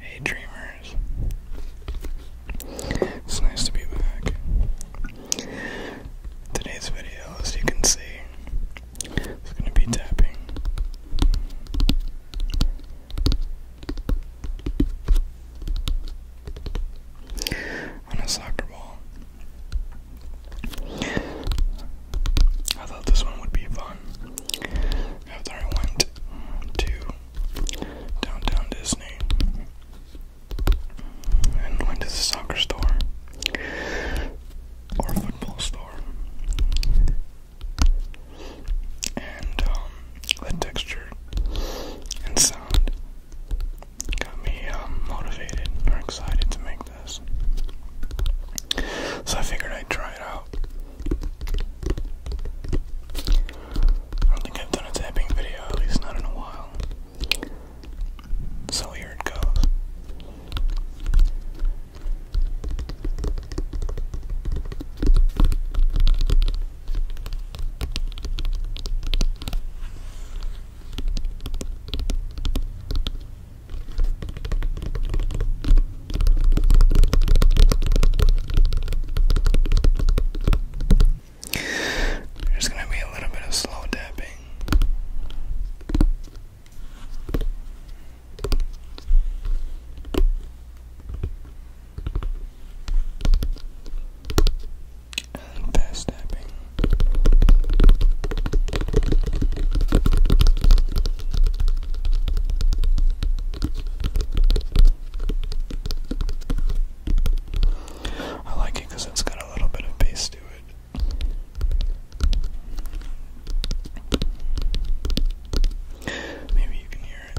Hey dreamers. It's nice to be back. Today's video, as you can see, is going to be tapping. On a soccer ball. I thought this one would be fun. After I went to Downtown Disney and went to the soccer store or football store. And um, the texture and sound got me um, motivated or excited to make this. So I figured I'd try it out. I don't think I've done a tapping video, at least not in a while. So here it goes. There's gonna be a little bit of slow tapping. And fast tapping. I like it because it's got a little bit of bass to it. Maybe you can hear it.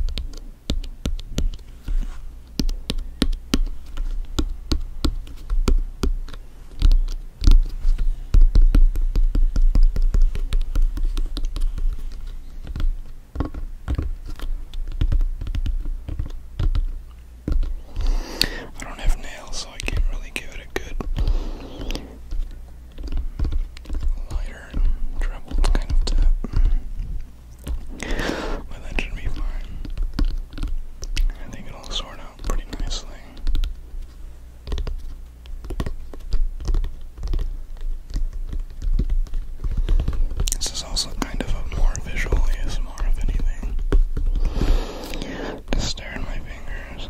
I don't have nails, so I can't really give it a good lighter trebled kind of tap. But that should be fine. I think it'll sort out pretty nicely. This is also kind of a more visual ASMR, Just stare at my fingers.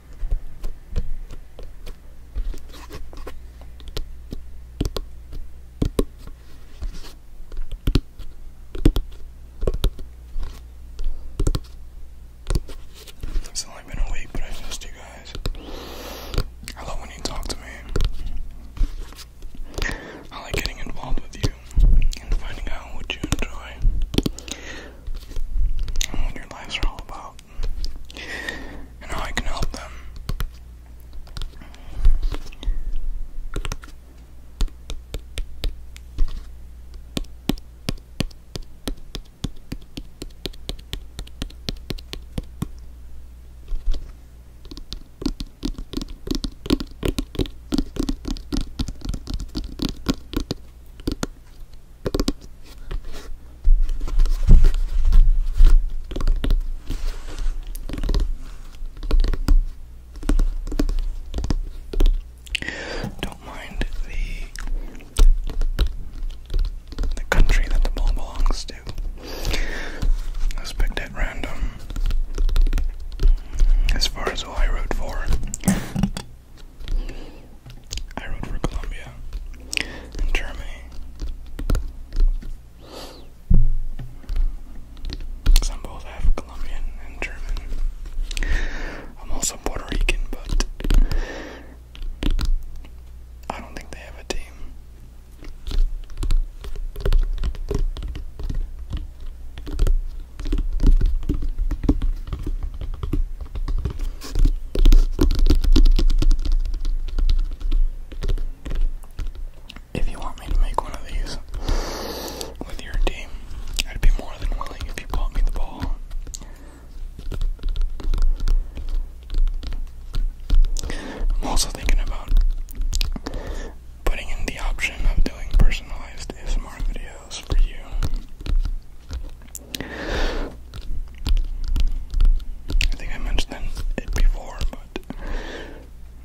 It's only been a week, but I missed you guys. I love when you talk to me. I like getting involved with you and finding out what you enjoy and what your lives are all about and I can help them. Don't mind the the country that the ball belongs to. Let's at random. As far as who I wrote for, I rode for Colombia and Germany. I'm both half Colombian and German. I'm also Puerto Rican, but I don't think they have a team. If you want me to make one of these with your team, I'd be more than willing if you bought me the ball. I'm also thinking about putting in the option of doing personalized ASMR videos for you. I think I mentioned it before, but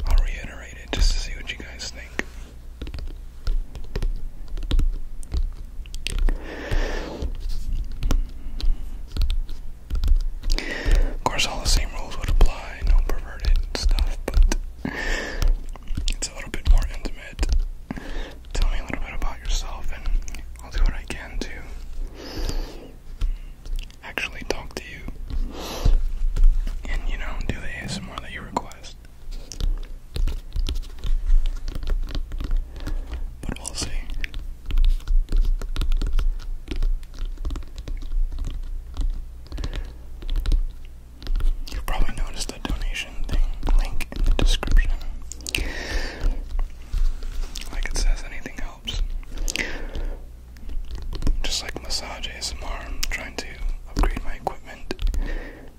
I'll reiterate it just to see what you guys think. Of course, all the same rules would apply, no perverted stuff, but it's a little bit more intimate tell me a little bit about yourself, and I'll do what I can to actually talk to you and, you know, do the ASMR that you request. But we'll see. You've probably noticed the donation thing link in the description. Like it says, anything helps. Just like massage ASMR, I'm trying to upgrade my equipment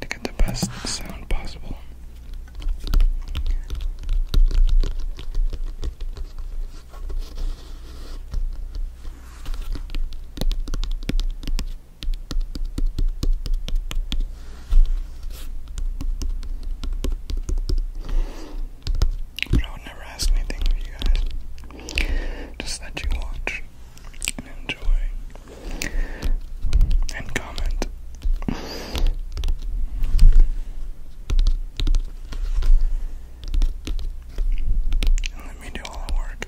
to get the best sound possible. But I would never ask anything of you guys. Just that you watch enjoy and comment. let me do all the work.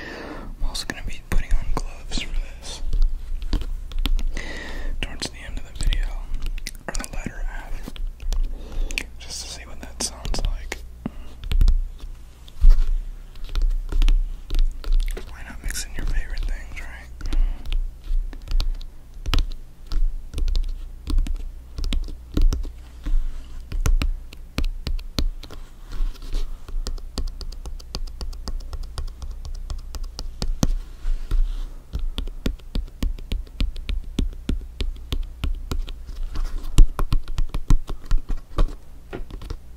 I'm also going to be putting on gloves for this towards the end of the video, or the latter half, just to see what that sounds like. Why not mix in your favorite things, right?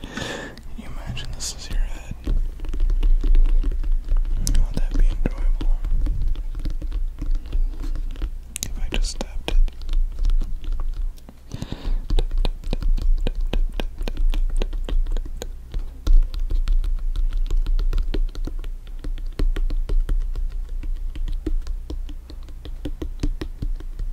Can you imagine this is your head? Would that be enjoyable? If I just tapped it.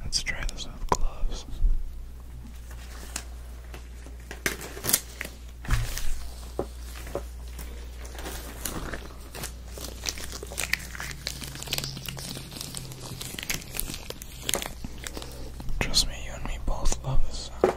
Let's try this with gloves. Trust me, you and me both love this sound.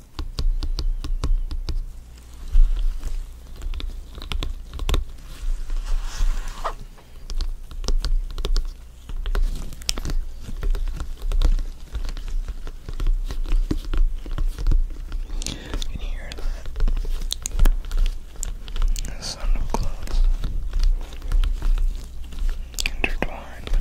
Can you hear that? The sound of clothes intertwined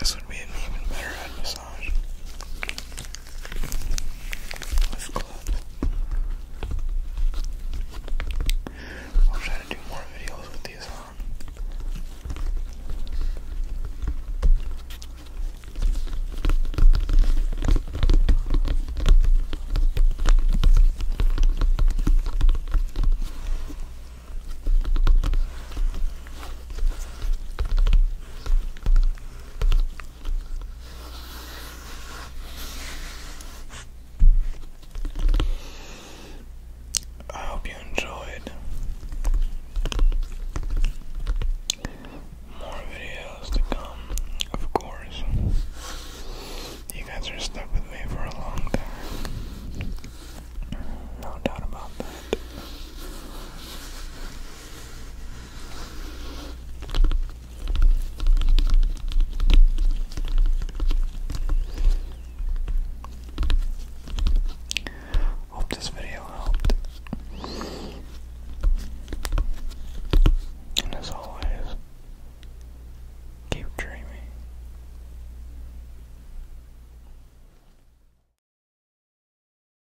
This would be an even better massage. Life Club. I'll try to do more videos with these on. I hope you enjoyed. More videos to come, of course. You guys are stuck with me for a long time. No doubt about that. Hope this video helped. And as always, keep dreaming.